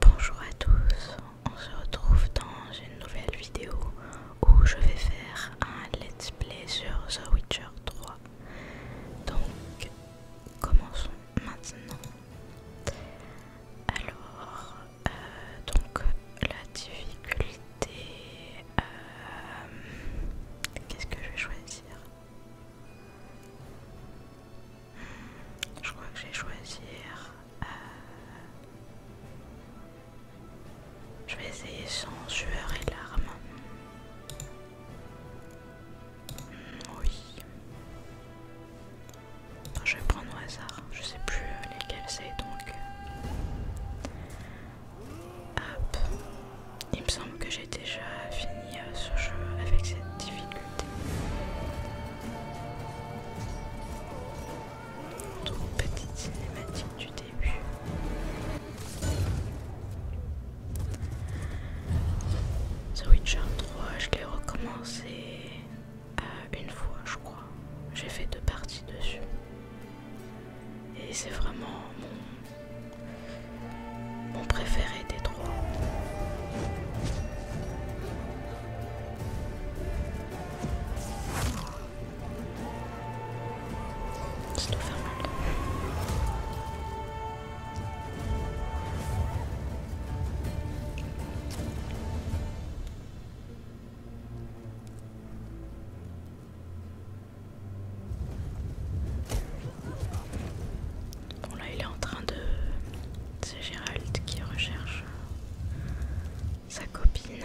Bonjour à tous, on se retrouve dans une nouvelle vidéo où je vais faire un let's play sur The Witcher 3. Donc commençons maintenant. Alors donc la difficulté euh, qu'est-ce que je vais choisir hmm, je crois que je vais choisir euh, je vais essayer sans sueur et larmes hmm, oui je vais prendre au hasard je sais plus euh, lesquels c'est donc. Euh, hop. Il me semble que j'ai déjà fini euh, ce jeu avec cette difficulté. Donc petite cinématique du début. The Witcher 3, je l'ai recommencé une fois je crois. J'ai fait deux parties dessus. Et c'est vraiment mon, préféré des trois. Bon là il est en train de... C'est Gérald qui recherche sa copine.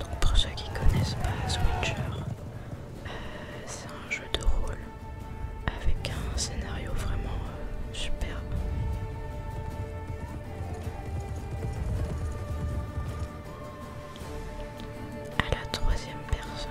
Donc pour ceux qui connaissent pas Switcher, euh, c'est un jeu de rôle avec un scénario vraiment super euh, superbe. À la troisième personne.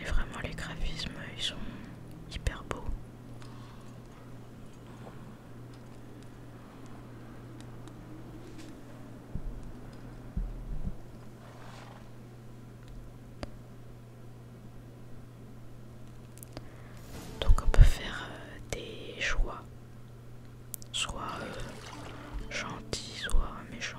Et vraiment les graphismes, ils sont hyper beaux. Donc on peut faire euh, des choix, soit euh, gentil, soit méchant.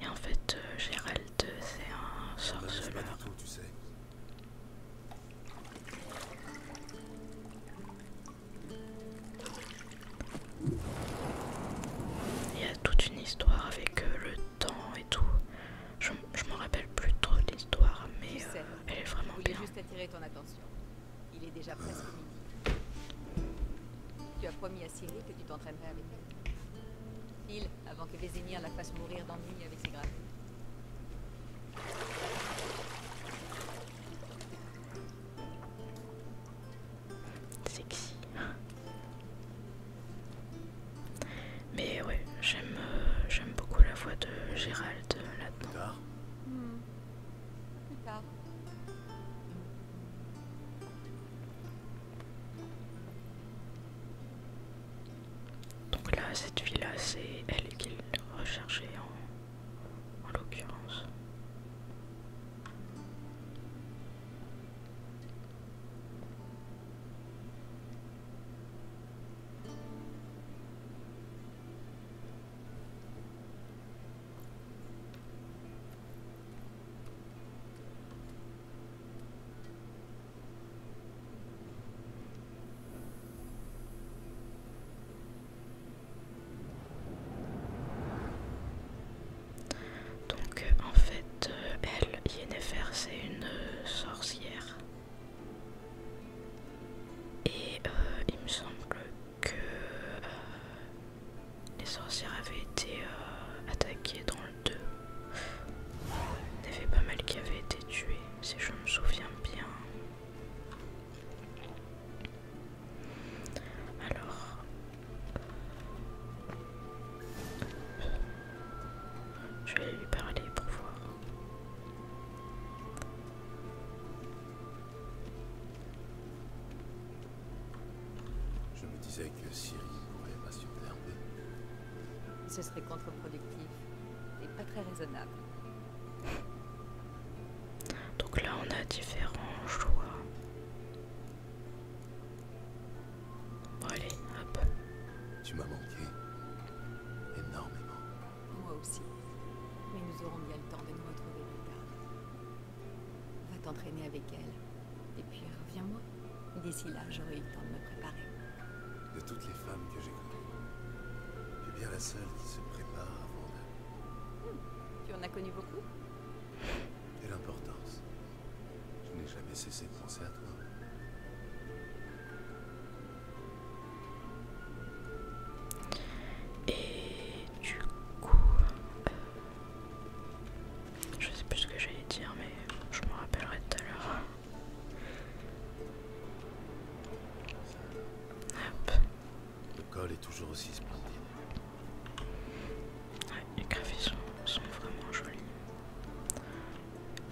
Et en fait, euh, Gérald, c'est un sorceleur. Tu Il y a toute une histoire avec euh, le temps et tout. Je, je m'en rappelle plus trop l'histoire, mais euh, elle est vraiment bien. Ton attention. Il est déjà presque midi. Tu as promis à Cyril que tu t'entraînerais avec elle. File avant que Vésénir la fasse mourir d'ennui avec ses gravures. Sexy. hein Mais ouais, euh, j'aime beaucoup la voix de Gérald euh, là-dedans. Plus tard. Hmm. Donc là, cette fille-là, c'est elle qu'il recherchait en, en l'occurrence. Donc en fait, euh, elle, Yennefer, c'est une euh, sorcière. Et euh, il me semble que les sorcières avaient été euh, attaquées dans le 2. Il y avait pas mal qui avaient été tués, si je me souviens bien. Alors, je vais lui parler pour voir. Je me disais que Siri pourrait pas superbe. Ce serait contre-productif et pas très raisonnable. Donc là, on a différents choix. Bon, allez, hop. Tu m'as manqué énormément. Moi aussi. Mais nous aurons bien le temps de nous retrouver plus tard. Va t'entraîner avec elle. Et puis reviens-moi. D'ici là, j'aurai eu le temps de me préparer. De toutes les femmes que j'ai connues, tu es bien la seule qui se prépare avant d'eux. Hmm. Tu en as connu beaucoup Quelle importance. Je n'ai jamais cessé de penser à toi. Et du coup, je sais plus ce que j'allais dire, mais je me rappellerai tout à l'heure. Le col est toujours aussi splendide. Ouais, les graphismes sont, vraiment jolis.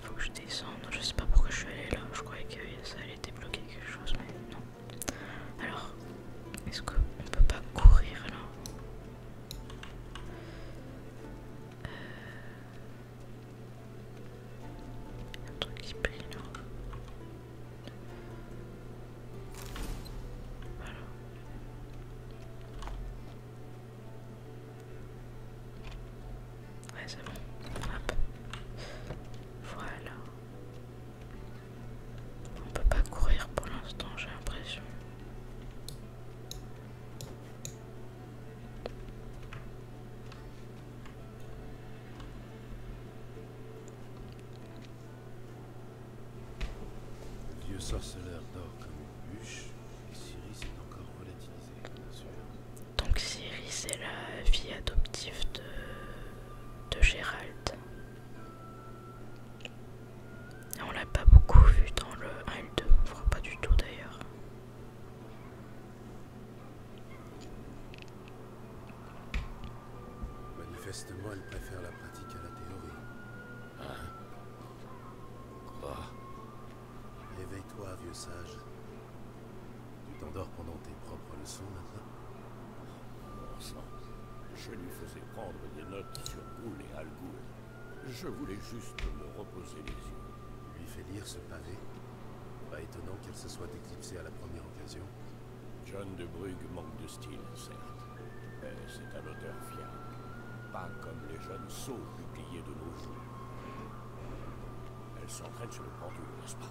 Faut que je descende. Je sais pas pourquoi je suis allé là. Je croyais que ça allait débloquer quelque chose, mais non. Alors, est-ce qu'on peut pas courir là euh, un truc qui brille donc. Voilà. Ouais, Voilà. On peut pas courir pour l'instant, j'ai l'impression. vieux sorceleur dort comme une bûche et Cyrus est encore volatilisé, bien sûr. Donc Cyrus est la fille adoptive de, de Gérald on l'a pas beaucoup vu dans le 1 et le 2, pas du tout d'ailleurs. Manifestement, elle préfère la pratique à la théorie. Hein Quoi Réveille-toi, vieux sage. Tu t'endors pendant tes propres leçons maintenant je lui faisais prendre des notes sur goul et Al Je voulais juste me reposer les yeux. Lui fait lire ce pavé Pas étonnant qu'elle se soit éclipsée à la première occasion. John de Brugge manque de style, certes. Mais c'est un auteur fiable. Pas comme les jeunes du publiés de nos jours. Elle s'entraîne sur le pendule, n'est-ce pas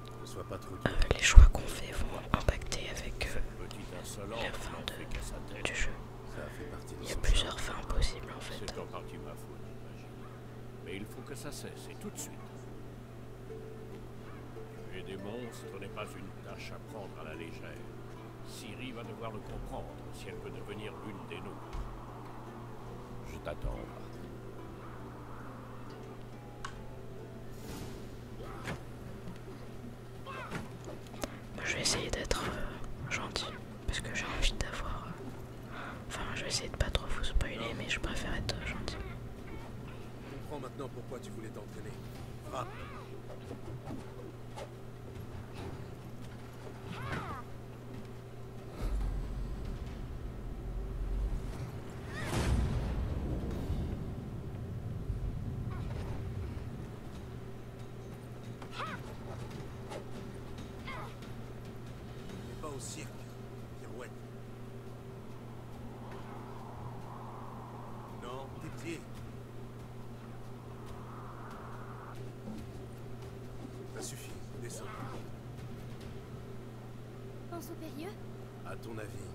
pas euh, les choix qu'on fait vont impacter avec eux. la fin de, du jeu. il y a plusieurs fins possibles en fait. En partie ma faute, Mais il faut que ça cesse et tout de suite. j'ai des monstres n'est pas une tâche à prendre à la légère. Siri va devoir le comprendre si elle veut devenir l'une des nôtres. Je t'attends. Bah, je vais essayer d'être euh, gentil parce que j'ai envie d'avoir. Euh, enfin, je vais essayer de pas trop vous spoiler, mais je préfère être gentil. maintenant pourquoi tu voulais n'est pas au cirque, pirouette. Non, tes pieds. Ça suffit, descends. Pense au Périlleux à ton avis.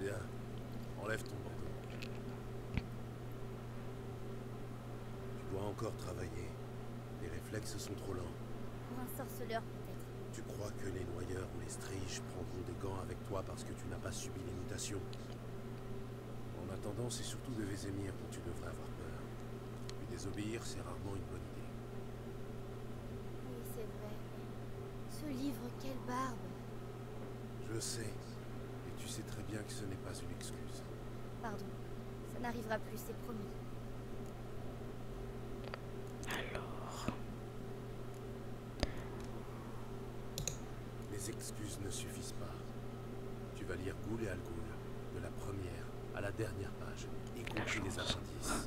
Bien. Enlève ton bandeau. Tu dois encore travailler. Les réflexes sont trop lents. Pour un sorceleur, peut-être. Tu crois que les noyeurs ou les striches prendront des gants avec toi parce que tu n'as pas subi l'imitation en attendant, c'est surtout de Vézémir dont tu devrais avoir peur. Lui désobéir, c'est rarement une bonne idée. Oui, c'est vrai. Ce livre, quelle barbe Je sais. Et tu sais très bien que ce n'est pas une excuse. Pardon. Ça n'arrivera plus, c'est promis. Alors... Les excuses ne suffisent pas. Tu vas lire goulet et Al de la première à la dernière page, y compris les appendices.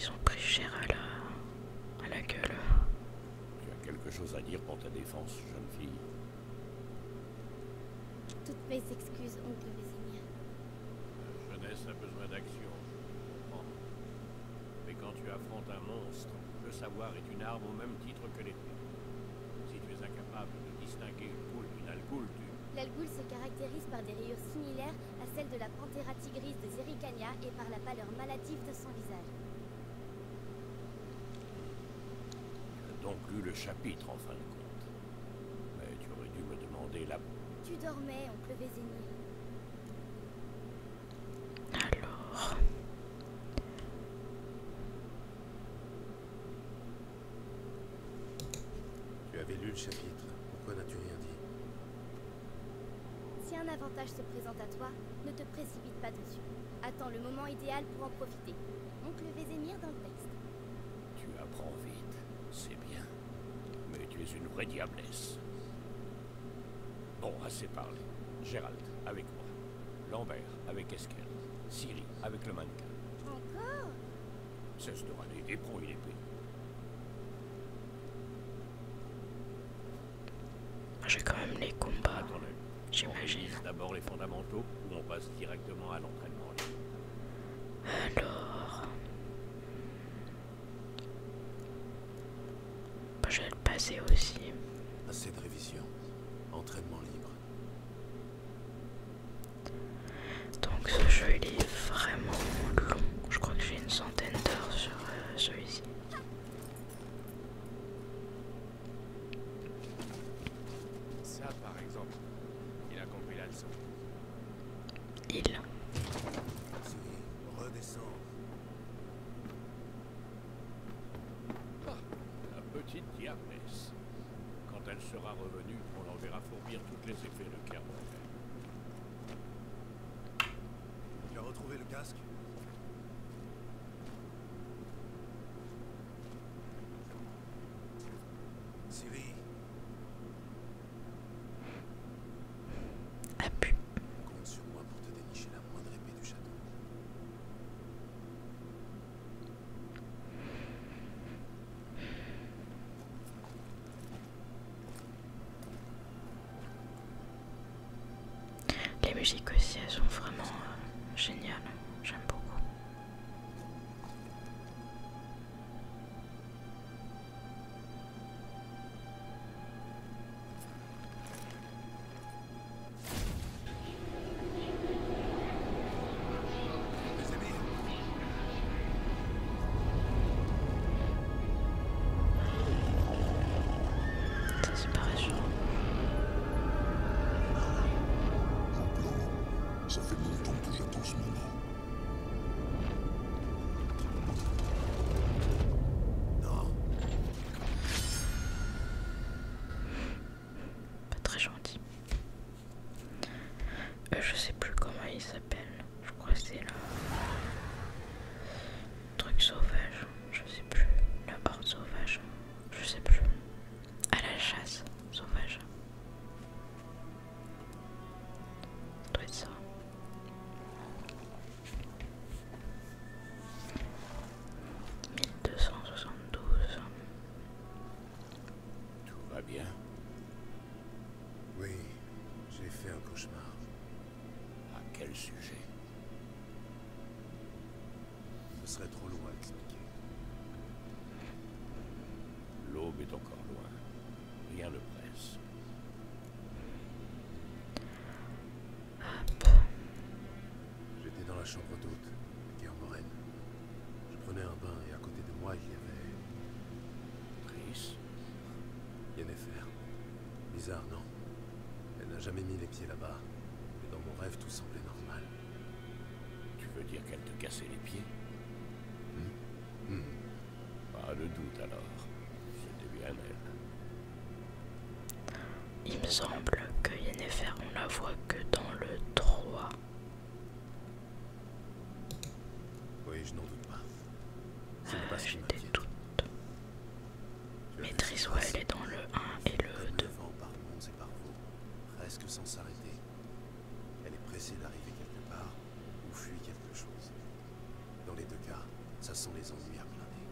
Ils ont pris cher à la, à la gueule. Tu as quelque chose à dire pour ta défense, jeune fille Toutes mes excuses, oncle Vésinia. La euh, jeunesse a besoin d'action, je comprends. Mais quand tu affrontes un monstre, le savoir est une arme au même titre que l'épée. Si tu es incapable de distinguer une poule d'une algoule, tu... L'algoule se caractérise par des rayures similaires à celles de la panthéra tigris de Zericania et par la pâleur maladive de son visage. donc lu le chapitre en fin de compte. Mais tu aurais dû me demander la tu dormais, oncle Vézénier. Alors. Tu avais lu le chapitre. Pourquoi n'as-tu rien dit Si un avantage se présente à toi, ne te précipite pas dessus. Attends le moment idéal pour en profiter. Oncle Vézémir dans le texte. Tu apprends vite, c'est bien. Mais tu es une vraie diablesse. Bon, assez parlé. Gérald, avec moi. Lambert, avec Esquel. Siri, avec le mannequin. Encore des de et débrouille l'épée. J'ai quand même les combats, j'imagine. D'abord les fondamentaux, ou on passe directement à l'entraînement. Alors... Bah, je vais le passer aussi. Assez de révision. Entraînement libre. Donc ce jeu est vraiment long. Je crois que j'ai une centaine d'heures sur euh, celui-ci. Ça par exemple. Il a compris la leçon. Il. redescend. Ah, la petite diablesse. Quand elle sera revenue, on l'enverra fourbir toutes les effets de carbone. Tu as retrouvé le casque Siri, un pu. Compte sur moi pour te dénicher la moindre épée du château. Les musiques aussi, elles sont vraiment euh, géniales. J'aime beaucoup c'est pas réchaud. Ça fait longtemps que j'attends ce moment. Pas très gentil. Euh, je sais plus comment il s'appelle. Je crois que c'est le truc sauvage. Je sais plus. La horde sauvage. Je sais plus. À la chasse sauvage. Ça 1272 Tout va bien. Oui, j'ai fait un cauchemar. À quel sujet Ce serait trop loin à expliquer. L'aube est encore loin. Rien ne presse. J'étais dans la chambre d'hôte, guerre moraine. Je prenais un bain et à côté de moi, il y avait... Brice. Yennefer. Bizarre, non Elle n'a jamais mis les pieds là-bas. Mais dans mon rêve, tout semblait normal. Tu veux dire qu'elle te cassait les pieds hmm? Hmm. Pas le doute alors, c'était bien elle. Il me semble que Yennefer, on la voit que dans le 3. Oui, je n'en doute pas. Euh, pas J'étais doute. Maîtrise, elle est dans le 1 et le 2. par et par presque sans s'arrêter. Elle est pressée d'arriver quelque part ou fuit quelque chose. Dans les deux cas, ça sont les ennuis à blinder.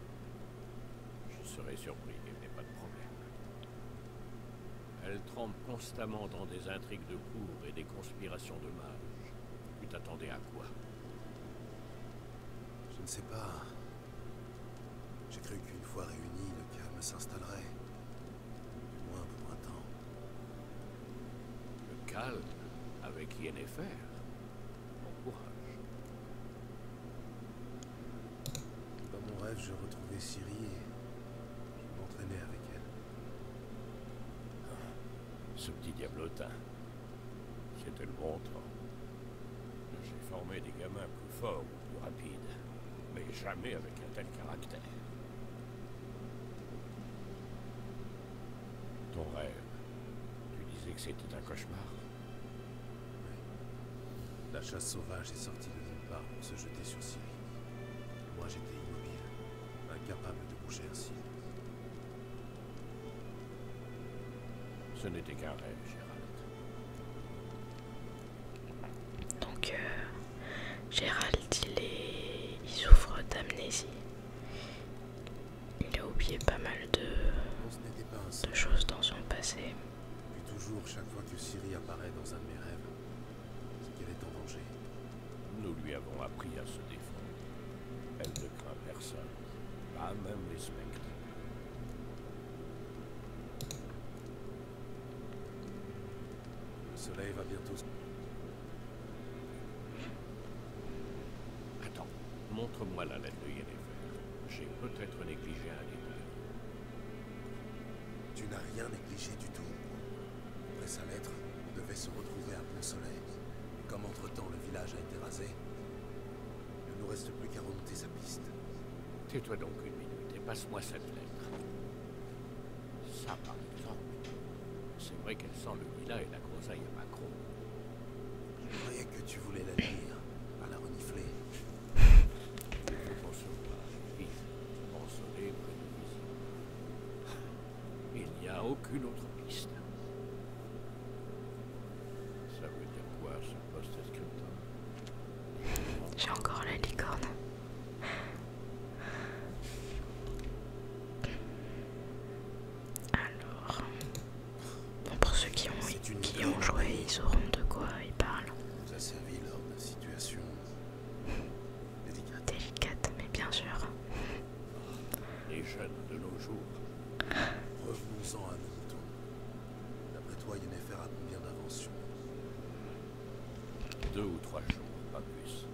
Je serais surpris qu'elle n'ait pas de problème. Elle trempe constamment dans des intrigues de cour et des conspirations de mages. Tu t'attendais à quoi Je ne sais pas. J'ai cru qu'une fois réunis, le calme s'installerait. Du moins pour un temps. Le calme avec Yennefer. Mon courage. Dans mon rêve, je retrouvais Siri et je m'entraînais avec elle. Ah, ce petit diablotin, c'était le bon temps. J'ai formé des gamins plus forts ou plus rapides, mais jamais avec un tel caractère. Ton rêve. Tu disais que c'était un cauchemar. Oui. La chasse sauvage est sortie de nulle part pour se jeter sur Sylvie. Moi j'étais immobile, incapable de bouger ainsi. Ce n'était qu'un rêve, Gérald. Donc, euh, Gérald, il, est... il souffre d'amnésie. Il a oublié pas mal de, choses dans son passé. Puis toujours, chaque fois que Siri apparaît dans un de mes rêves, c'est qu'elle est en danger. Nous lui avons appris à se défendre. Elle ne craint personne, pas même les spectres. Le soleil va bientôt Attends, montre-moi la lettre de Yennefer. J'ai peut-être négligé un détail. Tu n'as rien négligé du tout. Après sa lettre, on devait se retrouver à Pont-Soleil. et Comme entre-temps le village a été rasé, il ne nous reste plus qu'à remonter sa piste. Tais-toi donc une minute et passe-moi cette lettre. Ça, va. temps. C'est vrai qu'elle sent le Mila et la grosaille à Macron. Je croyais que tu voulais la lire, à la renifler. pas, vite, près Il n'y a aucune autre piste. Ça veut dire quoi ce poste scriptum J'ai encore la licorne. Alors, pour ceux qui ont, qui joué, ils auront de quoi ils parlent. nous a servi lors de situation délicate. mais bien sûr. Les jeunes de nos jours. Revenons-en à nous. D'après toi, Yennefer a combien d'inventions Deux ou trois jours, pas plus.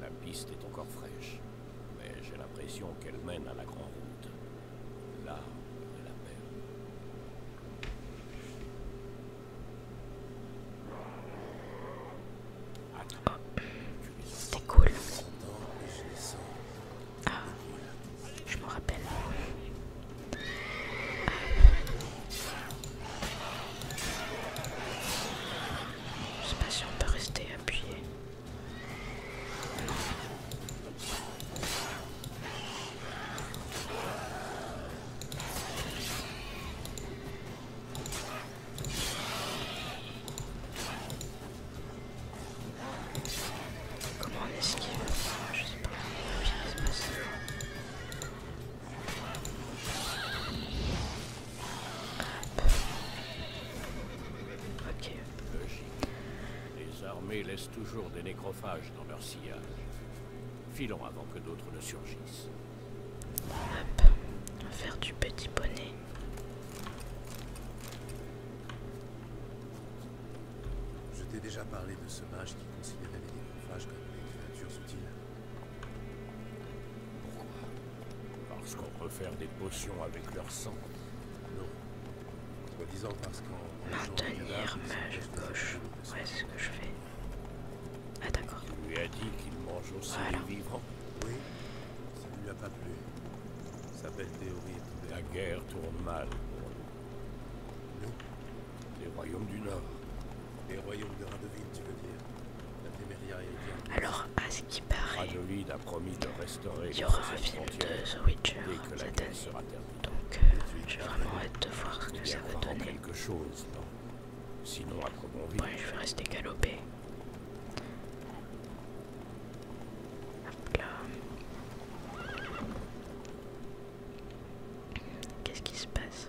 La piste est encore fraîche mais j'ai l'impression qu'elle mène à la grande route, Là, de la mer. C'était cool. Ah, je me rappelle. Je sais pas si on peut rester appuyé. Comment on esquive Je sais pas Ok. Les armées laissent toujours des nécrophages dans leur sillage. Filons avant que d'autres ne surgissent. On va faire du petit bonnet. Je t'ai déjà parlé de ce mage qui considérait les nécrophages comme des créatures utiles. Pourquoi parce qu'on peut faire des potions avec leur sang. Non. Soi-disant parce qu'on. Maintenir mage gauche. c'est ce que je fais. Ah, d'accord. Tu lui as dit qu'il mange aussi du les Oui. Ça ne lui a pas plu. Sa belle théorie. La guerre tourne mal pour nous. Les royaumes du Nord. Les royaumes de Radovid, tu veux dire La bien. alors, à ce qui paraît, Radoville a promis de il y aura un film de The Witcher la hein, Donc, euh, j'ai vraiment hâte de voir ce que ça va donner. ouais, je vais rester galopé. Qu'est-ce qui se passe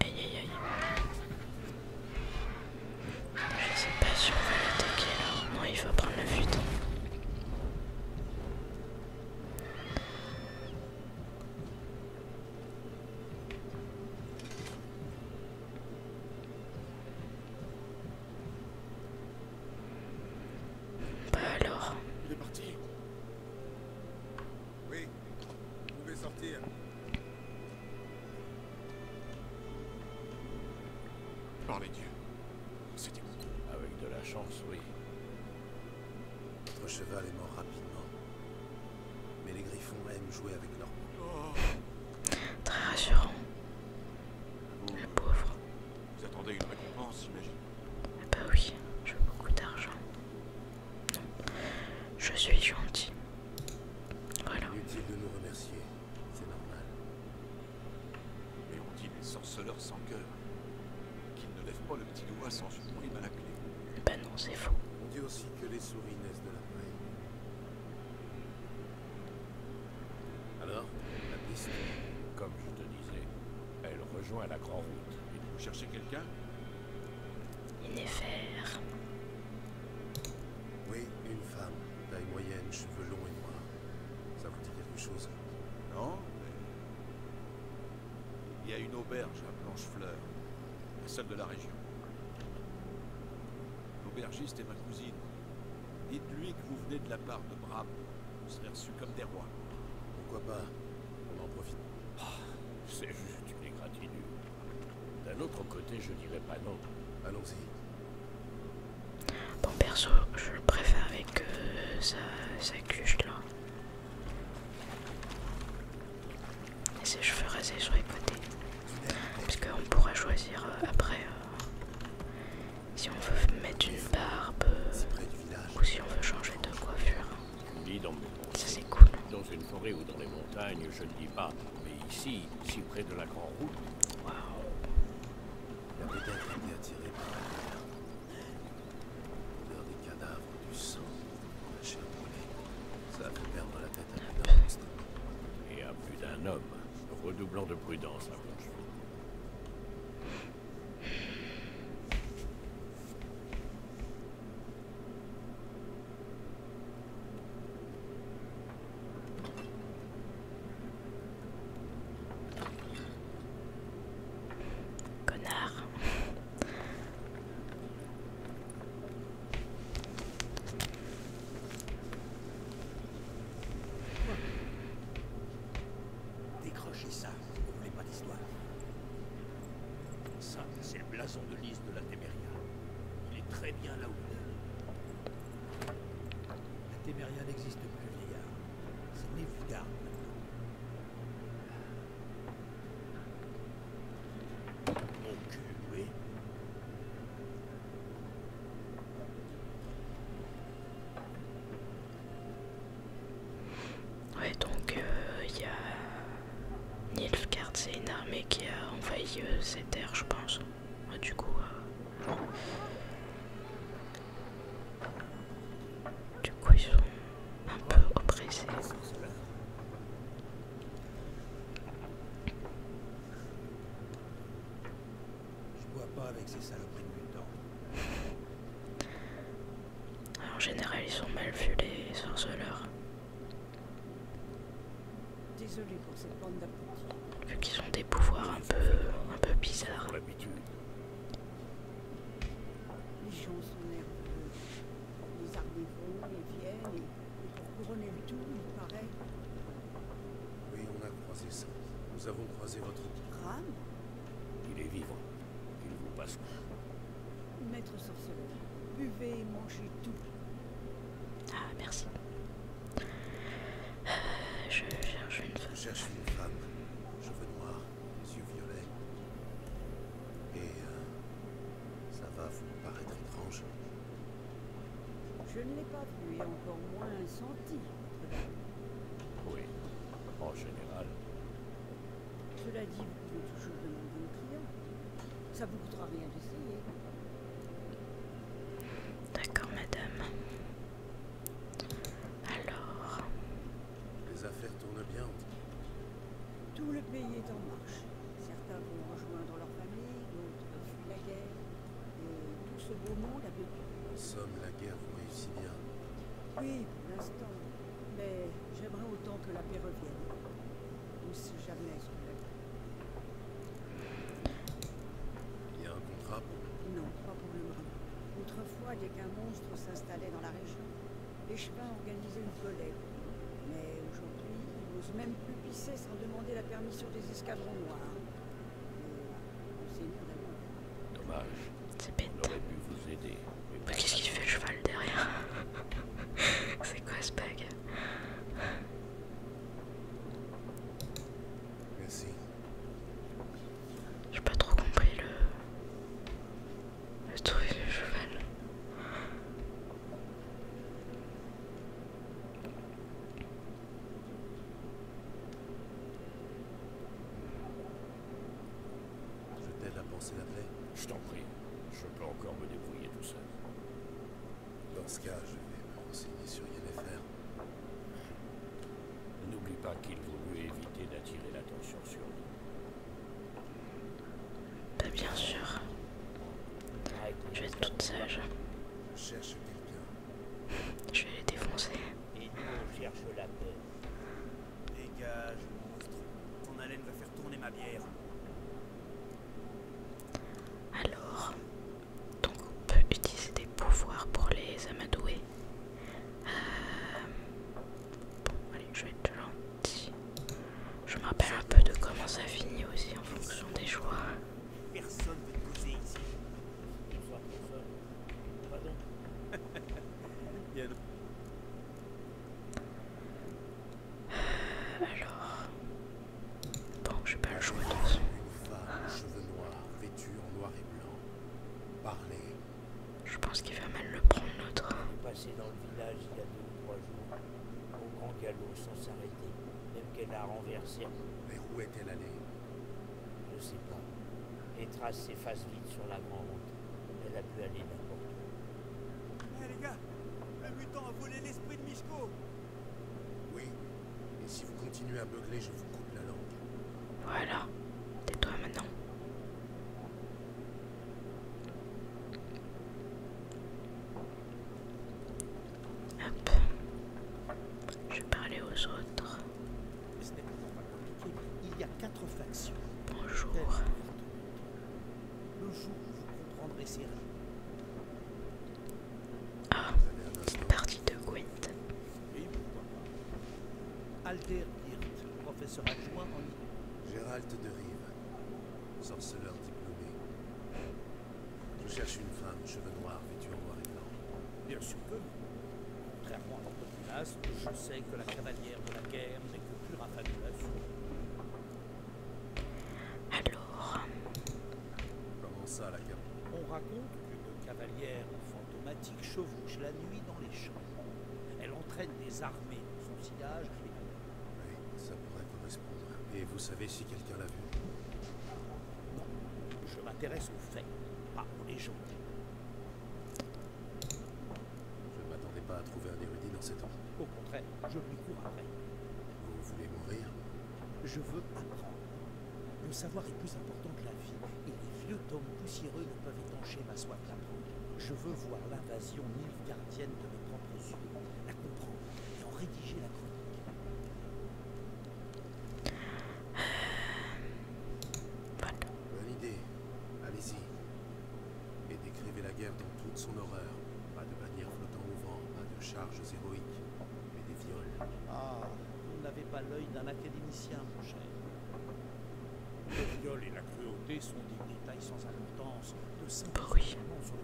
Aïe Je sais pas si on va l'attaquer là. Non, il faut prendre le fuite. Bah alors. Il est parti. Oui, vous pouvez sortir. Par les dieux. C'était Avec de la chance, oui. Votre cheval est mort rapidement. Mais les griffons aiment jouer avec leur. Très rassurant. La pauvre. Vous attendez une récompense, j'imagine ah bah oui, je veux beaucoup d'argent. je suis gentil. Voilà. Inutile de nous remercier, c'est normal. Mais on dit les sorceleurs sans cœur, qu'ils ne lèvent pas le petit doigt sans une à la clé. Bah non, c'est faux. On dit aussi que les souris naissent de la paille. Alors, la piste, comme je te disais, elle rejoint la grand route. vous cherchez quelqu'un Il est Oui, une femme, taille moyenne, cheveux longs et noirs. Ça vous dit quelque chose Non Il y a une auberge à Blanchefleur, la seule de la région. L'aubergiste est ma cousine. Dites-lui que vous venez de la part de Bram. Vous serez reçus comme des rois. Pourquoi pas On en profite. Ah, c'est juste une égratignure. D'un autre côté, je dirais pas non. Allons-y. Bon, perso, je préfère avec euh, sa, sa cuche là. Et ses cheveux rasés sur les parce qu'on pourra choisir euh, après euh, si on veut mettre une barbe euh, ou si on veut changer de coiffure. ça c'est cool. Dans une forêt ou dans les montagnes, je ne dis pas, mais ici, si près de la grande route. il Waouh. La brigade était attirée par la mer. L'heure des cadavres, du sang, la chair brûlée. Ça fait perdre la tête à ah, plus d'un Et à plus d'un homme. Redoublant de prudence la Connard. Décrochez ça, vous voulez pas d'histoire. Ça, c'est le blason de lys de la Téméria. Il est très bien là où il est. La Téméria n'existe plus, vieillard. C'est Nevudar maintenant. Mon cul, oui. Ouais, donc il euh, y a. Nilfgaard, c'est une armée qui a envahi euh, cette ces terres, je pense. Ah, du coup. Euh, du coup, ils sont un peu oppressés. Je bois pas avec ces saloperies de mutants. En général, ils sont mal vu les sorceleurs. Désolé pour cette bande d'abrutis. Vu qu'ils ont des pouvoirs un peu, bizarres. Les gens sont nerveux. Les armées vont viennent et pour couronner le tout, il paraît oui, on a croisé ça. Nous avons croisé votre... Graham Il est vivant. Il vous passe. Maître sorceleur, buvez et mangez tout. Ah, merci. Euh, je cherche une femme. Je veux une Cheveux noirs, les yeux violets. Et euh, ça va vous paraître étrange. Je ne l'ai pas vu et encore moins senti. Oui, en général. Cela dit, vous pouvez toujours demander au client. Ça vous coûtera rien d'essayer. D'accord, madame. Alors. Les affaires tournent bien. Tout le pays est en marche. Certains vont rejoindre leur famille, d'autres fuient la guerre. Et tout ce beau monde a vécu. En somme, la guerre vous réussit bien. Oui, l'instant. Mais j'aimerais autant que la paix revienne. Ou si jamais Il y a un contrat pour... Non, pas pour le moment. Autrefois, dès qu'un monstre s'installait dans la région, les chemins organisaient une collègue. Mais aujourd'hui, ils n'osent même plus pisser sans demander la permission des escadrons noirs. Dommage. C'est bête. Mais qu'est-ce qu'il fait le cheval derrière C'est quoi ce bug Merci. J'ai pas trop compris le. le truc le cheval. Je t'aide à penser la paix Je t'en prie. Je peux encore me débrouiller tout seul. Dans ce cas, je vais me renseigner sur Yennefer. N'oublie pas qu'il voulut éviter d'attirer l'attention sur nous. Bah, bien sûr. Je es toute Cherche quelqu'un je vais les défoncer. tourner ma Alors, donc on peut utiliser des pouvoirs pour les amadouer. Euh, bon, allez, je vais être gentil. Je me rappelle un peu de comment ça finit aussi en fonction des choix. Personne veut te poser ici. Bonsoir, bonsoir. Pardon. Bien. Alors. Bon, je vais pas le jouer de vous. Une femme cheveux noirs, vêtue en noir et blanc. Parler. Je pense qu'il va mal le prendre notre. On dans le village il y a deux ou trois jours. Au grand galop sans s'arrêter même qu'elle l'a renversée. Mais où est-elle allée Je sais pas. Les traces s'effacent vite sur la grande route. Elle a pu aller n'importe où. Eh, les gars Le mutant a volé l'esprit de Mishko Oui. Et si vous continuez à beugler, je vous coupe la langue. Voilà. Tais-toi maintenant. Hop. Je vais parler aux autres. Il y a quatre factions. Bonjour. Le jour où vous comprendrez ces Ah, partie de Gwent. Oui pourquoi pas Alder Hirt, professeur adjoint en Gérald de Rive, sorceleur diplômé. Je cherche une femme, cheveux noirs, vêtue en noir et blanc. Bien sûr que Contrairement à votre je sais que la cavalière de la guerre n'est que pure affabulation. Alors. Comment ça, la guerre On raconte qu'une cavalière fantomatique chevauche la nuit dans les champs. Elle entraîne des armées dans son sillage Oui, ça pourrait correspondre. Et vous savez si quelqu'un l'a vue non, Je m'intéresse aux faits, pas aux légendes. Je ne m'attendais pas à trouver un érudit dans cet endroit. Au contraire, je lui cours après. Vous voulez mourir Je veux apprendre. Le savoir est plus important que la vie, et les vieux tomes poussiéreux ne peuvent étancher ma soif d'apprendre. Je veux voir l'invasion gardienne de mes propres yeux, la comprendre et en rédiger la chronique. Euh, Bonne idée. Allez-y. Et décrivez la guerre dans toute son horreur. Pas de bannières flottant au vent, pas de charges héroïques, mais des viols. Ah, vous n'avez pas l'œil d'un académicien, mon cher. Le viol et la cruauté sont des détails sans importance. De bruit.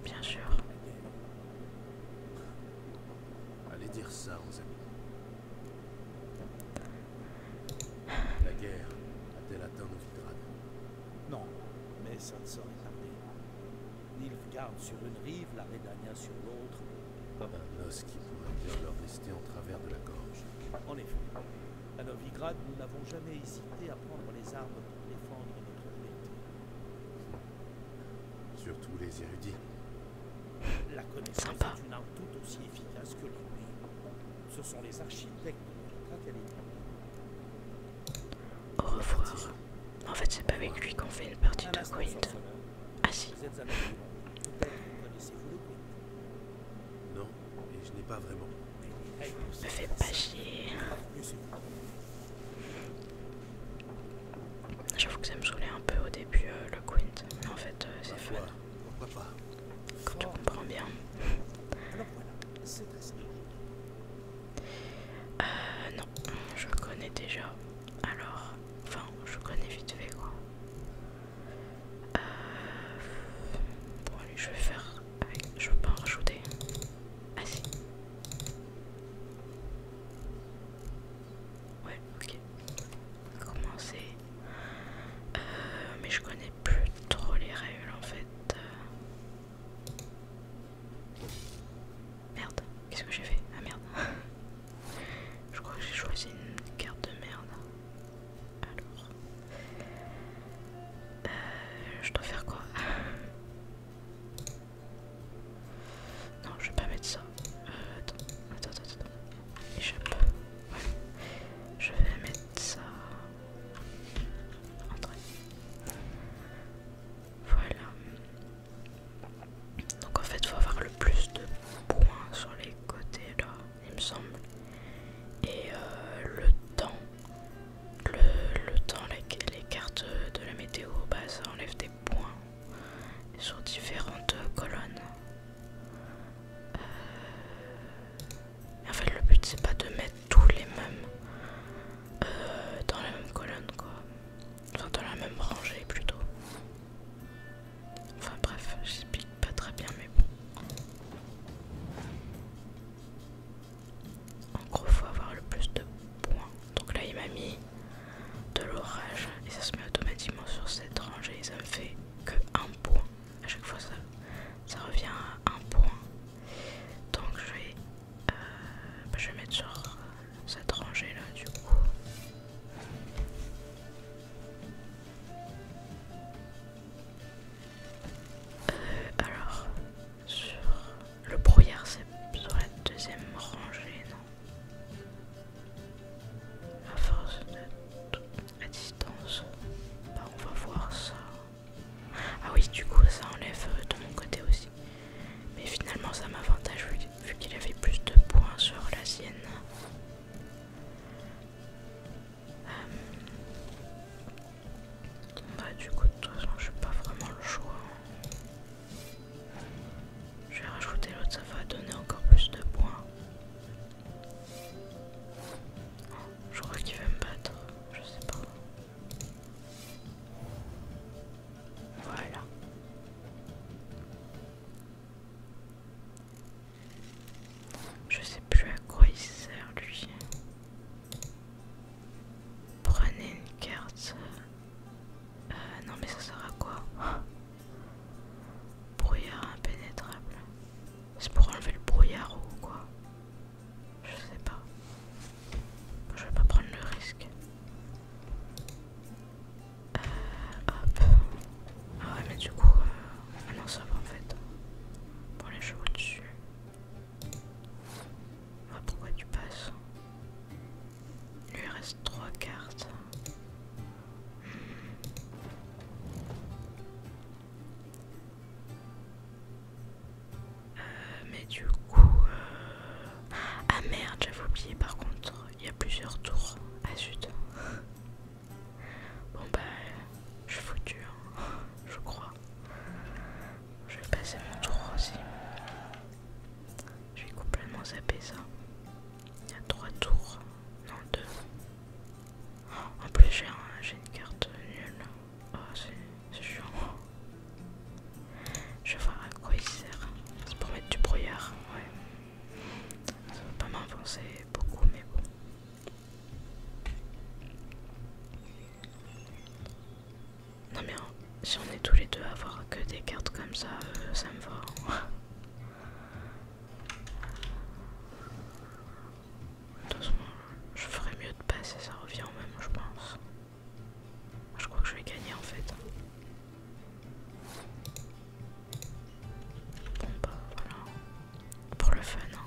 bien sûr. Allez dire ça aux amis. La guerre a-t-elle atteint Novigrad Non, mais ça ne saurait tarder. Nilfgaard sur une rive, la Redania sur l'autre. Un os qui pourrait bien leur rester en travers de la gorge. En effet. À Novigrad, nous n'avons jamais hésité à prendre les armes pour défendre notre liberté. Surtout les érudits. La connaissance Sympa. tout aussi efficace que lui. Ce sont les architectes de Au revoir. En fait, c'est pas avec lui qu'on fait une partie de Quint. Ah si. Non, et je n'ai pas vraiment. Me fais pas chier. J'avoue que ça me saoulait un peu au début euh, le quint, mais en fait euh, c'est fun. Pourquoi pas Quand tu comprends bien. Euh non, je connais déjà. Alors, enfin, je connais vite fait quoi. Euh, bon allez, je vais faire Je veux pas en rajouter. Ah si. Ouais, ok. Commencer. Euh, mais je connais plus trop les règles en fait. Merde, qu'est-ce que j'ai fait Ah merde. je crois que j'ai choisi une carte de merde. Alors. Euh, je dois faire quoi Non, je vais pas mettre ça. Euh, attends, attends, attends, attends. Je vais mettre ça. Voilà. Donc en fait, faut avoir le plus de points sur les côtés là, il me semble. Et euh, le temps, le, temps, les, les cartes de la météo, bah ça enlève des points sur différentes colonnes. Euh, en fait, le but c'est pas de mettre tous les mêmes euh, dans la même colonne, quoi. Enfin, dans la même rangée plutôt. Enfin, bref, j'explique pas très bien, mais bon. En gros, faut avoir le plus de points. Donc là, il m'a mis de l'orage et ça se met automatiquement sur cette rangée et ça me fait que un point à chaque fois ça, ça revient à un point donc je vais, euh, bah, je vais mettre sur cette rangée là du coup euh, alors sur le brouillard c'est sur la deuxième rangée non à force d'être à distance, bah, on va voir ça. Ah oui, du coup, ça enlève euh, de mon côté aussi. Mais finalement, ça m'avantage vu qu'il avait plus de points sur la sienne. Euh, bah, du coup, de toute façon, j'ai pas vraiment le choix. Je vais rajouter l'autre, ça va donner encore plus de points. je crois qu'il va me battre, je sais pas. Voilà. Je sais plus à quoi il sert lui. Prenez une carte euh, non mais ça sert à quoi Brouillard impénétrable. C'est pour enlever le brouillard ou quoi Je sais pas. Je vais pas prendre le risque. Euh, ah ouais mais du coup... Euh, ah non ça va en fait. Pour les chevaux dessus. pourquoi tu passes il lui reste 3 cartes. Euh, mais du coup... Euh, ah merde, j'avais oublié par contre. Il y a plusieurs tours. à zut. Bon bah... Je suis foutu, hein, je crois. Je vais passer mon tour aussi. Je suis complètement zappé ça. Il y a trois tours. Non, deux. Oh, en plus, j'ai une carte nulle. Oh, c'est chiant. Je vais voir à quoi il sert. C'est pour mettre du brouillard. Ouais. Ça va pas m'avancer beaucoup, mais bon. Non, mais si on est tous les deux à avoir que des cartes comme ça, euh, ça me va. Doucement, je ferais mieux de passer, ça revient au même, je pense. Je crois que je vais gagner en fait. Bon bah voilà, pour le fun. Hein.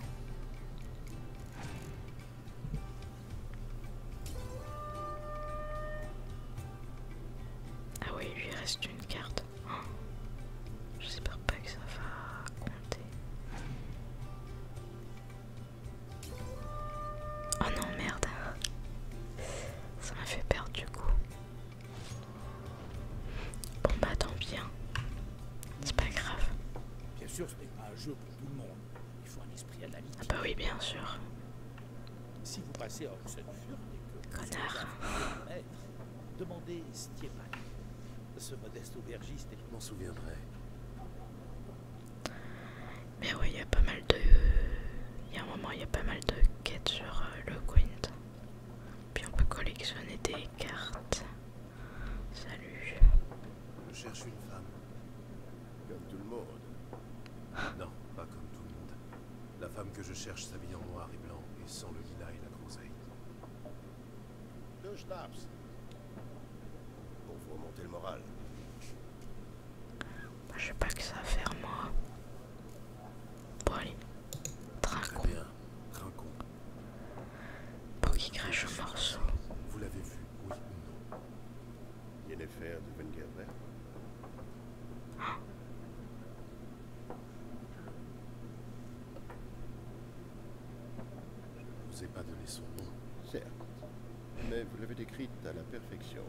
Ah oui, lui il reste une carte reste. Oh. J'espère pas que ça va compter. Oh non, merde! Ça m'a fait perdre du coup. Bon bah tant bien, hein. c'est pas grave. Bien sûr, ce n'est pas un jeu pour tout le monde. Il faut un esprit analytique. Ah bah oui, bien sûr. Si vous passez hors cette furte et que. Connard! Demandez Stiepan, ce modeste aubergiste. qui m'en souviendrait. Mais ouais, il y a pas mal de. Il y a un moment, il y a pas mal de quêtes sur euh, le Quint. Puis on peut collectionner des cartes. Salut. Je cherche une femme. Comme tout le monde. non, pas comme tout le monde. La femme que je cherche s'habille en noir et blanc et sent le lilas et la groseille. Deux schnapps. Pour vous remonter le moral. je sais pas que ça va faire, moi. Bon, allez. Trinquons. bien. Pour qu'il crache au Vous l'avez vu, oui ou non Yennefer de Wengerberg. Je ne vous ai pas donné son nom. Certes, mais vous l'avez décrite à la perfection.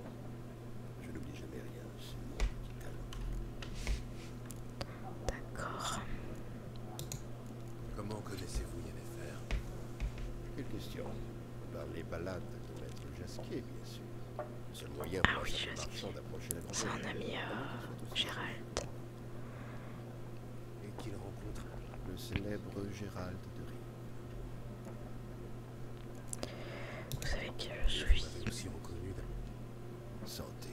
Je n'oublie jamais rien, c'est mon petit talent. D'accord. Comment connaissez-vous Yennefer Quelle question Par les balades de Maître Jasquier, bien sûr. Ah oui, je sais. C'est un ami euh, Gérald. Et qu'il rencontre le célèbre Gérald de Vous savez qui je suis. Aussi reconnu santé.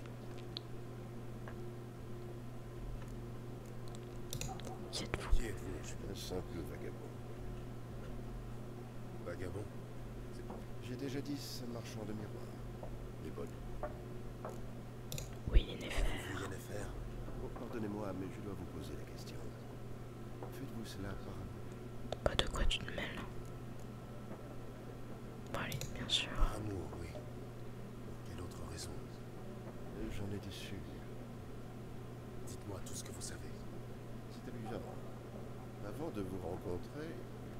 vous vagabond. Vagabond J'ai déjà dit ce marchand de miroirs. Les bonnes. Oui, en Rien faire. Oh, pardonnez-moi, mais je dois vous poser la question. Faites-vous cela par amour Pas de quoi tu te mêles. bien sûr. Par amour, oui. Quelle autre raison euh, J'en ai déçu. Dites-moi tout ce que vous savez. C'était abusable. Avant de vous rencontrer,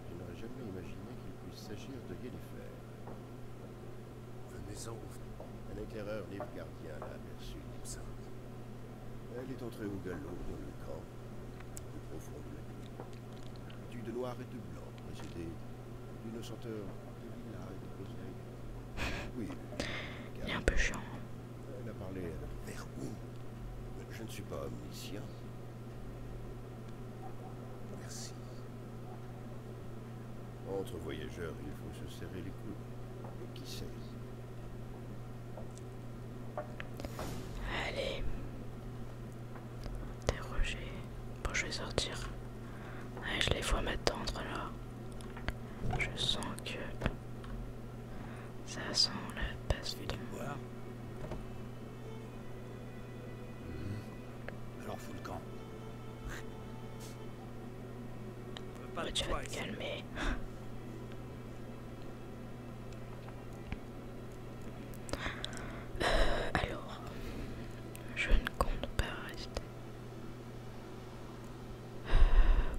je n'aurais jamais imaginé qu'il puisse s'agir de Yennefer. Venez-en Un éclaireur livre gardien l'a aperçu. Elle est entrée au galop dans le camp, au profond de la nuit. Du de noir et de blanc, précédé d'une chanteur, de lilas et de Oui. Il est un peu chiant. Elle a parlé vers où Je ne suis pas omniscient. Merci. Entre voyageurs, il faut se serrer les coudes. Et qui sait Allez. Interroger. Bon, je vais sortir. je les vois m'attendre là. Je sens que ça sent la passe du Hmm. Alors fous le camp. Pas oh, tu vas te calmer. Euh, alors, je ne compte pas rester. Euh,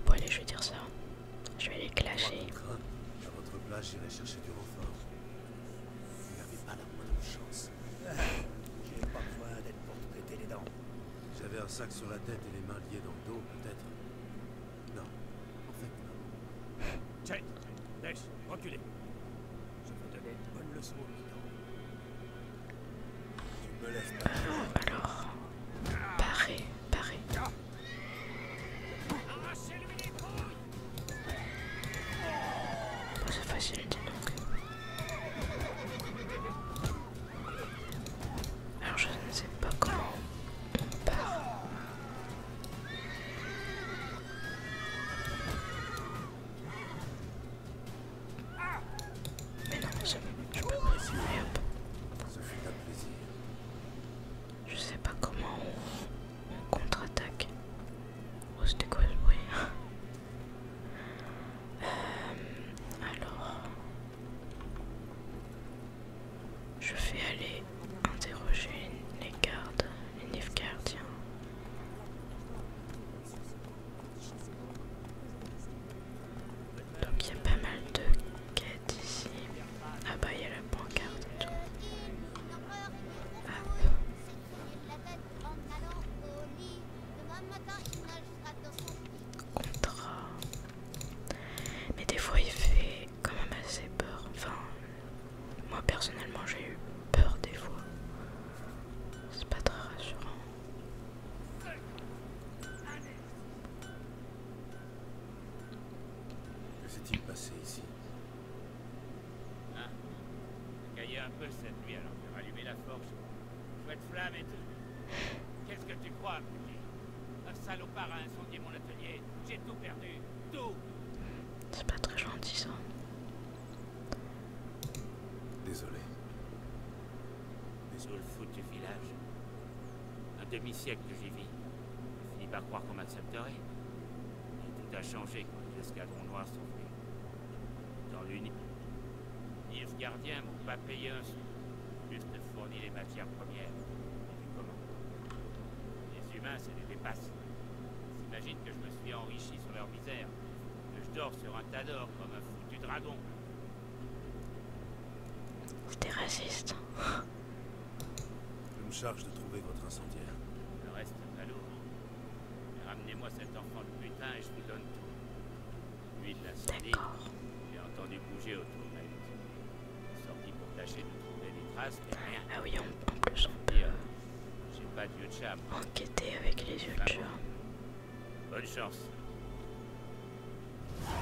bon allez, je vais dire ça. Je vais les clasher. À votre place, j'irai chercher du renfort. Vous n'avez pas la moindre chance. J'ai pas besoin d'être pour te péter les dents. J'avais un sac sur la tête et les mains liées dans le dos, peut-être. Non, en fait, non. Chet, Dash, reculez. Je veux donner une bonne leçon au militant. Tu me lèves pas. Euh, alors, paré, paré. Arrachez-lui les couilles c'est facile, dis donc. Alors, je ne sais pas comment on part. Mais non, suis. je peux pas. Je sais pas comment contre-attaque. Oh, c'était quoi ce bruit euh, Alors. Je vais aller interroger les gardes, les nifs gardiens. Donc il y a pas mal de quêtes ici. Ah bah il y a la pancarte Contrat. Mais des fois, il fait quand même assez peur. Enfin, moi personnellement, j'ai eu peur des fois. C'est pas très rassurant. Que s'est-il passé ici ah, un peu cette nuit, alors je vais rallumer la forge. Chouette flamme et tout. Qu'est-ce que tu crois, putain Un salopard a incendié mon atelier. J'ai tout perdu. Tout C'est pas très gentil, ça. Désolé. Désolé, le foot du village. Un demi-siècle que j'y vis. Je finis par croire qu'on m'accepterait tout a changé quand noirs noir venus, Dans l'Uni, Les Gardien m'ont pas payé un juste fourni les matières premières Les humains, c'est des dépasses. J'imagine que je me suis enrichi sur leur misère, que je dors sur un tas d'or comme un foutu dragon. des racistes. Je me charge de trouver votre incendiaire. Le reste à l'eau. Ramenez-moi cet enfant de putain et je vous donne tout. Lui de l'incendie, j'ai entendu bouger autour de d'elle. Sorti pour tâcher de trouver des traces, Ah oui, on peut euh, J'ai pas d'yeux de chat. Enquêter avec les yeux de chat. Bonne chance. Ah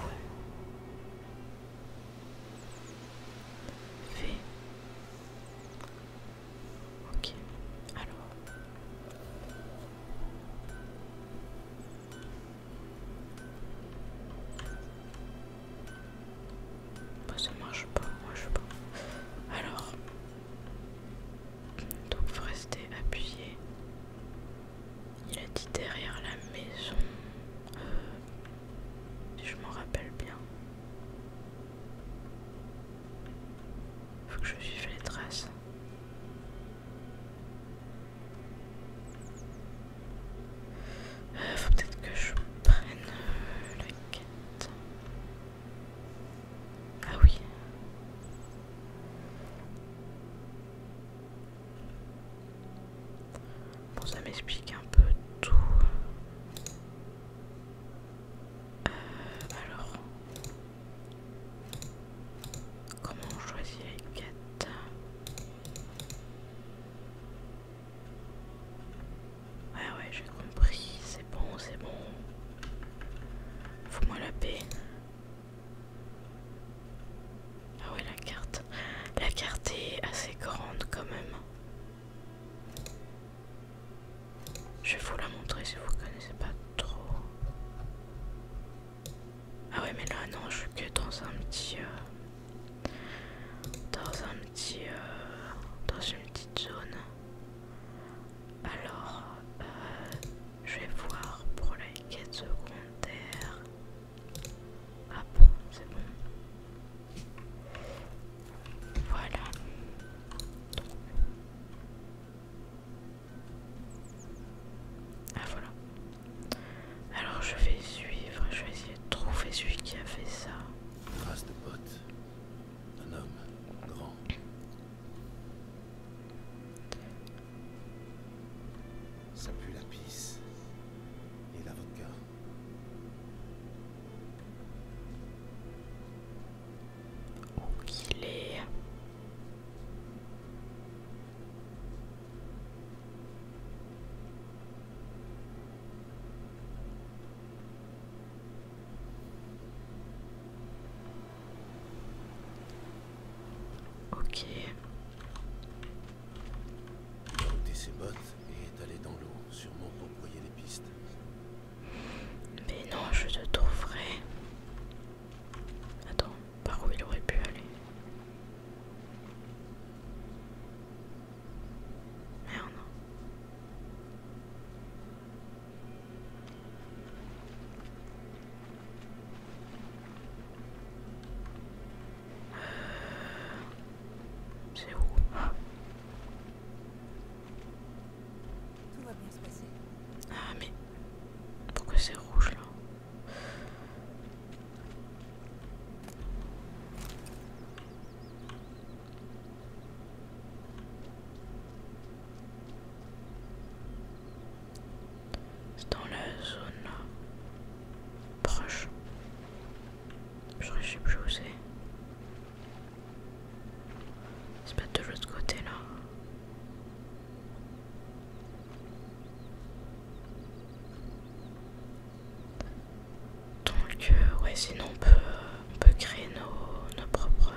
Ok, alors. ça marche pas, moi je sais pas. Alors. Donc, vous restez appuyé. Il a dit derrière la maison. Euh, si je m'en rappelle bien. Faut que je suive les traces. Euh, faut peut-être que je prenne euh, le. la quête. Ah oui. Bon, ça m'explique un peu tout alors, comment on choisit les quêtes ah Ouais, ouais, j'ai compris, c'est bon, c'est bon. Faut-moi la paix. Ah ouais, la carte. La carte est assez grande quand même. Je vais vous la montrer si vous connaissez pas trop. Ah ouais mais là non je suis que dans un petit euh, dans un petit euh, dans une petite zone. Alors euh, je vais voir pour les quêtes secondaires. Hop, ah c'est bon. Voilà. Ah voilà. Alors je vais suivre, je vais essayer de trouver celui qui a fait ça. race de pote Un homme grand. Ça pue la pisse et l'avocat. Où qu'il est Ok. J'ai ôté ses bottes et est allé dans l'eau, sûrement pour les pistes. Mais non, je te trouverai. Attends, par où il aurait pu aller Merde. Euh, c'est où tout va bien se passer. Ah mais pourquoi c'est rouge là C'est dans la zone proche. Je ne sais plus où c'est pas de l'autre côté là. Donc euh, ouais sinon on peut, créer nos, propres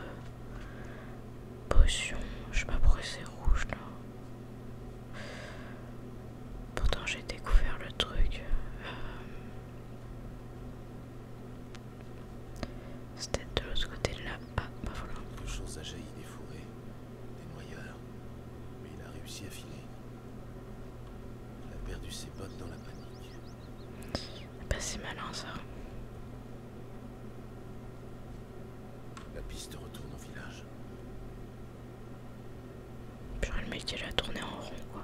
potions. Je sais pas pourquoi c'est rouge là. Pourtant j'ai découvert le truc. Euh, c'était de l'autre côté de là. Ah, bah voilà. Quelque chose a jailli des fourrés, des noyeurs, mais il a réussi à filer. Il a perdu ses bottes dans la panique. Pas bah, si malin ça. La piste retourne au village. Purée, le mec il a tourné en rond quoi.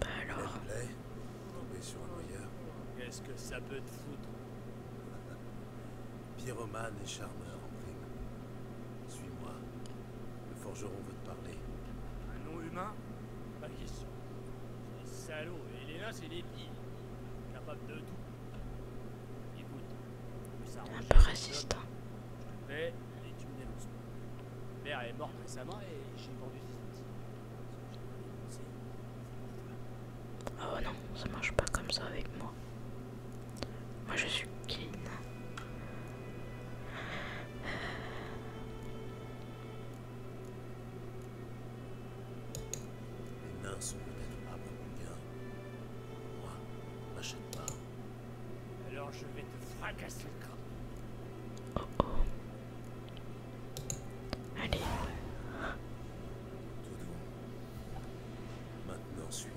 Bah alors. Tomber sur un Qu'est-ce que ça peut te foutre Pyromane et charmeur en prime. Suis-moi. Le forgeron veut te parler. Un nom humain Pas question. C'est salaud. Et les nains, c'est des Capable de tout. Écoute. Un peu résistant les tunnels en ce moment. Mon père est morte récemment et j'ai vendu des outils. Oh non, ça marche pas comme ça avec moi. Moi je suis clean. Les nains sont peut-être pas beaucoup bien. Moi, m'achète pas. Alors je vais te fracasser le Oh oh. Allez. Maintenant suis.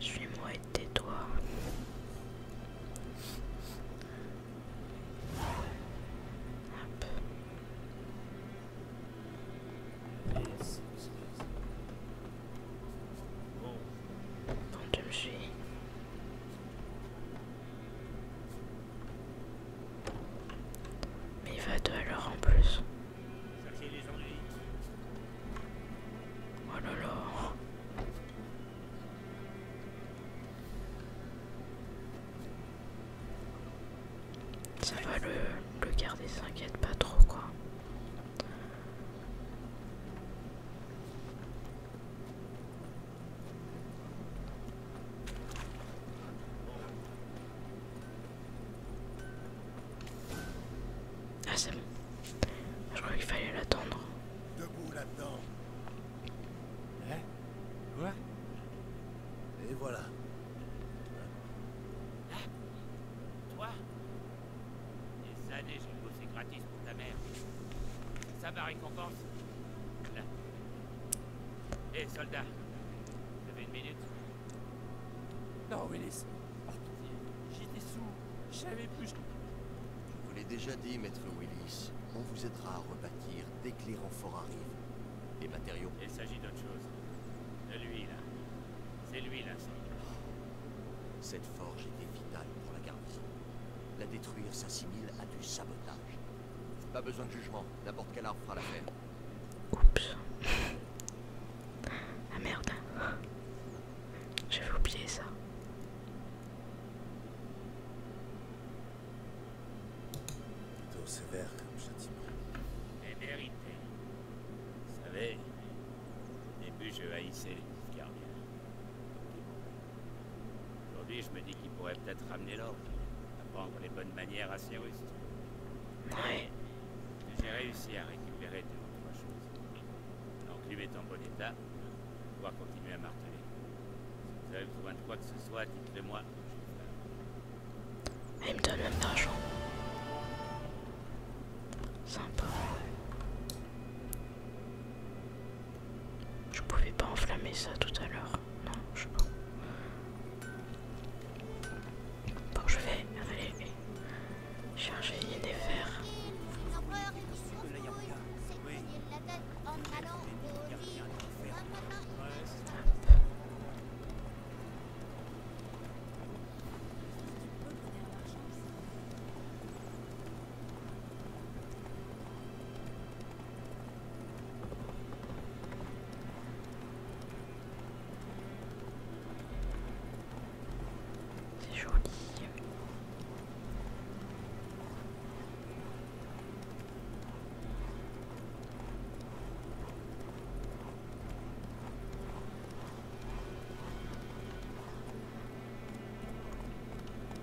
Suis-moi et tais-toi. Mais il va deux à l'heure en plus. Oh là là. Ça va le, le garder, s'inquiète pas trop quoi. Ah c'est bon. Je crois qu'il fallait l'attendre. Debout là-dedans. Hein Et voilà. Hein Toi Et ça déjà, c'est gratis ta mère. Ça va récompense. Là. Hé, eh, soldat. Vous avez une minute Non, Willis. J'étais sous. Je plus plus. Je vous l'ai déjà dit, maître Willis. On vous aidera à rebâtir dès que les renforts arrivent. Les matériaux. Il s'agit d'autre chose. De lui, là. C'est lui, là, Cette forge était vitale pour la garnison. La détruire s'assimile à du sabotage. Pas besoin de jugement, n'importe quel arbre fera l'affaire. Oups. Ah merde. J'avais oublié ça. Plutôt sévère comme châtiment. Et vérité. Vous savez, au début je haïssais les Aujourd'hui, je me dis qu'il pourrait peut-être ramener l'ordre, apprendre les bonnes manières à Cyrus. Ouais. J'ai réussi à récupérer deux ou trois choses. lui est en bon état, pouvoir continuer à marteler. Si vous avez besoin de quoi que ce soit, dites-le-moi. Elle me donne même d'argent. Je pouvais pas enflammer ça tout à l'heure. Non, je peux pas. Bon, je vais aller charger des fers. C'est joli. Il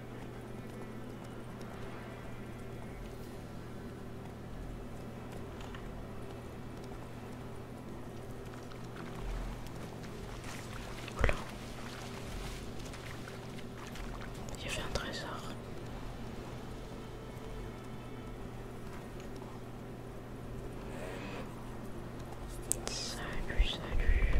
J'ai fait un trésor. Salut, salut.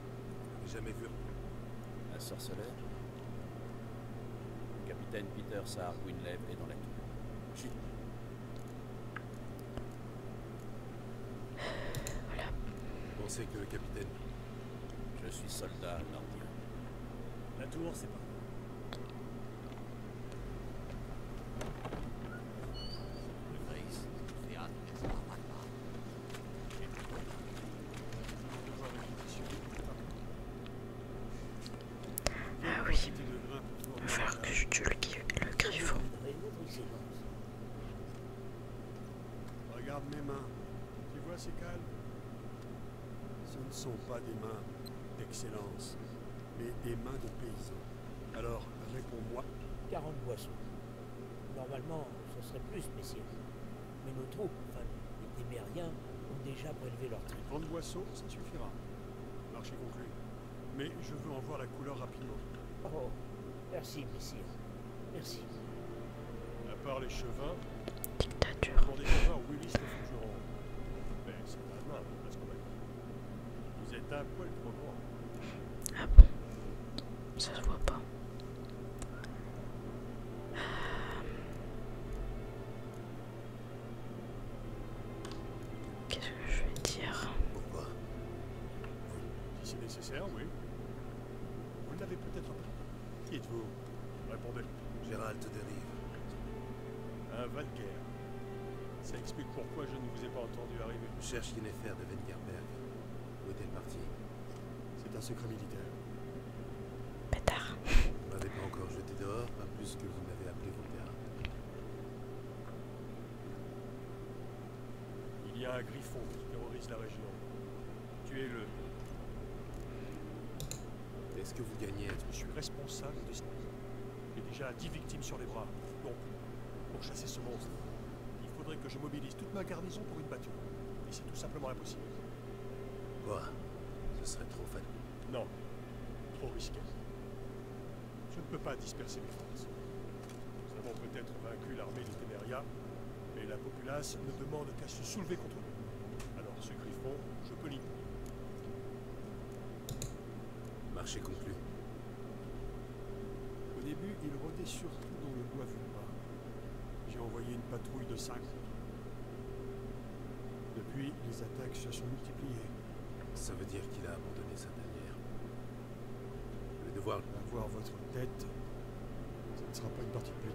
Jamais vu. La sorceleur Le capitaine Peter Sahar Gwynlève est dans la tour. Chut Voilà. Pensez que le capitaine. Je suis soldat nordique. La tour, c'est pas. Le Grace, c'est ah oui, je vais que je tue le, griffon. Regarde mes mains. Tu vois ces cales Ce ne sont pas des mains d'excellence, mais des mains de paysans. Alors, réponds-moi. 40 boissons. Normalement, ce serait plus, messieurs. Mais nos troupes, enfin, les Béériens, ont déjà prélevé leur traite. de boisseau, ça suffira. Marché conclu. Mais je veux en voir la couleur rapidement. Oh, merci, messieurs. Merci. À part les chevins... Dictature. Pour des chevins, Willis les forgerons. Mais c'est pas mal, parce qu'on Vous êtes un poil trop Ah bon Ça se voit pas. Qu'est-ce que je vais dire Pourquoi Si c'est nécessaire, oui. Vous l'avez peut-être pas. Qui êtes-vous Répondez. Gérald dérive. Un Guerre. Ça explique pourquoi je ne vous ai pas entendu arriver. Je cherche affaire de Vengerberg. Où est-elle partie C'est un secret militaire. Bâtard. Vous m'avez pas encore jeté dehors, pas plus que vous m'avez appelé vos Il y a un griffon qui terrorise la région. Tuez-le. Est-ce que vous gagnez Je suis responsable de ce J'ai déjà 10 victimes sur les bras. Donc, pour chasser ce monstre, il faudrait que je mobilise toute ma garnison pour une bataille. Et c'est tout simplement impossible. Quoi Ce serait trop fatal, Non. Trop risqué. Je ne peux pas disperser mes forces. Nous avons peut-être vaincu l'armée de Teneria, mais la populace ne demande qu'à se soulever contre nous. Alors ce griffon, je peux l'ignorer. Marché conclu. Au début, il rôdait surtout dans le bois fumba. J'ai envoyé une patrouille de cinq. Depuis, les attaques se sont multipliées. Ça veut dire qu'il a abandonné sa dernière. Le devoir... Avoir votre tête, ça ne sera pas une partie de plus.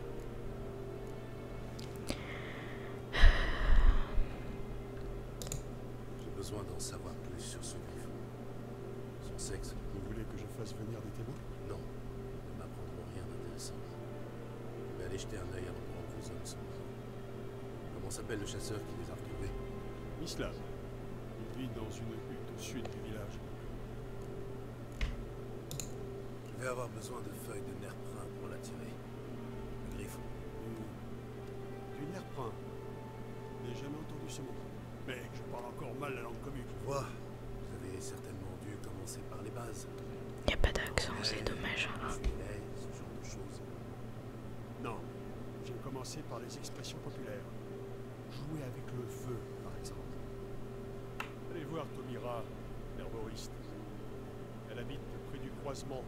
J'ai besoin d'en savoir plus sur ce livre. Son sexe. Vous voulez que je fasse venir des témoins Non. Ils ne m'apprendront rien d'intéressant. Mais aller jeter un œil à que vos hommes Comment s'appelle le chasseur qui les a retrouvés Mislav. Il vit dans une hutte au sud du village. Je vais avoir besoin de feuilles de nerf pour l'attirer. Le griffon. Mmh. Du, nerprin nerf je N'ai jamais entendu ce mot. Mec, je parle encore mal la langue commune. Vois, vous avez certainement dû commencer par les bases. n'y a pas d'accent, c'est dommage. Hein. Ce genre Non, j'ai commencé par les expressions populaires. Jouer avec le feu, par exemple. Allez voir Tomira, l'herboriste. Elle habite près du croisement.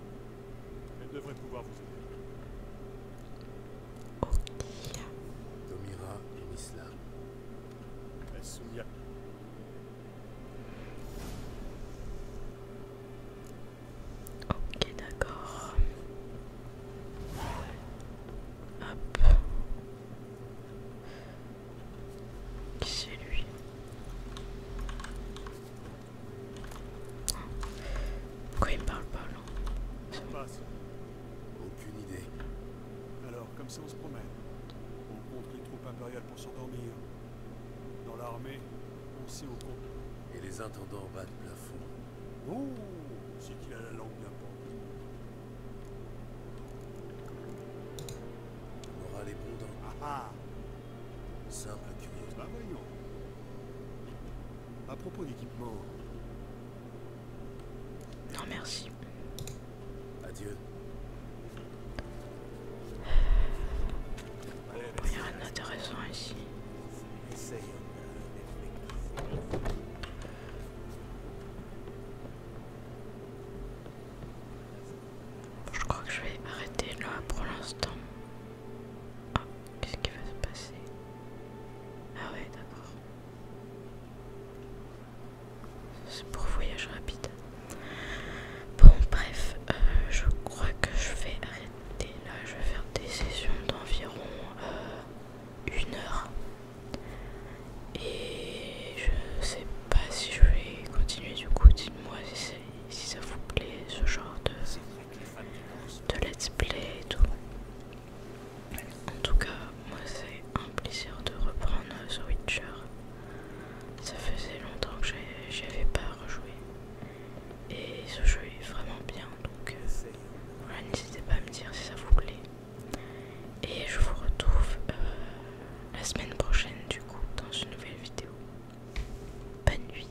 Elle devrait pouvoir vous aider. Ok. Domira et Misla. Souya. Ok, d'accord. Hop. Qui c'est lui Pourquoi il me parle pas là aucune idée. Alors, comme ça, on se promène. On compte les troupes impériales pour s'endormir. Dans l'armée, on sait au Et les intendants bas de plafond. Oh C'est qu'il a la langue d'un On aura les bons Ah ah Simple curiosité. Bah voyons. À propos d'équipement, non merci. Adieu. Il n'y a rien d'intéressant ici. Je crois que je vais arrêter là pour l'instant. Ah, qu'est-ce qui va se passer Ah ouais, d'accord. C'est pour voyage rapide. Bon, bref, euh, je crois que je vais arrêter là. Je vais faire des sessions d'environ euh, une heure. Et je sais pas si je vais continuer du coup. Dites-moi si, ça vous plaît ce genre de, de let's play et tout. En tout cas, moi c'est un plaisir de reprendre The Witcher. Ça faisait longtemps que j'avais pas rejoué. Et ce jeu est vraiment bien, donc euh, n'hésitez pas à me dire si ça vous plaît. Et je vous retrouve euh, la semaine prochaine du coup dans une nouvelle vidéo. Bonne nuit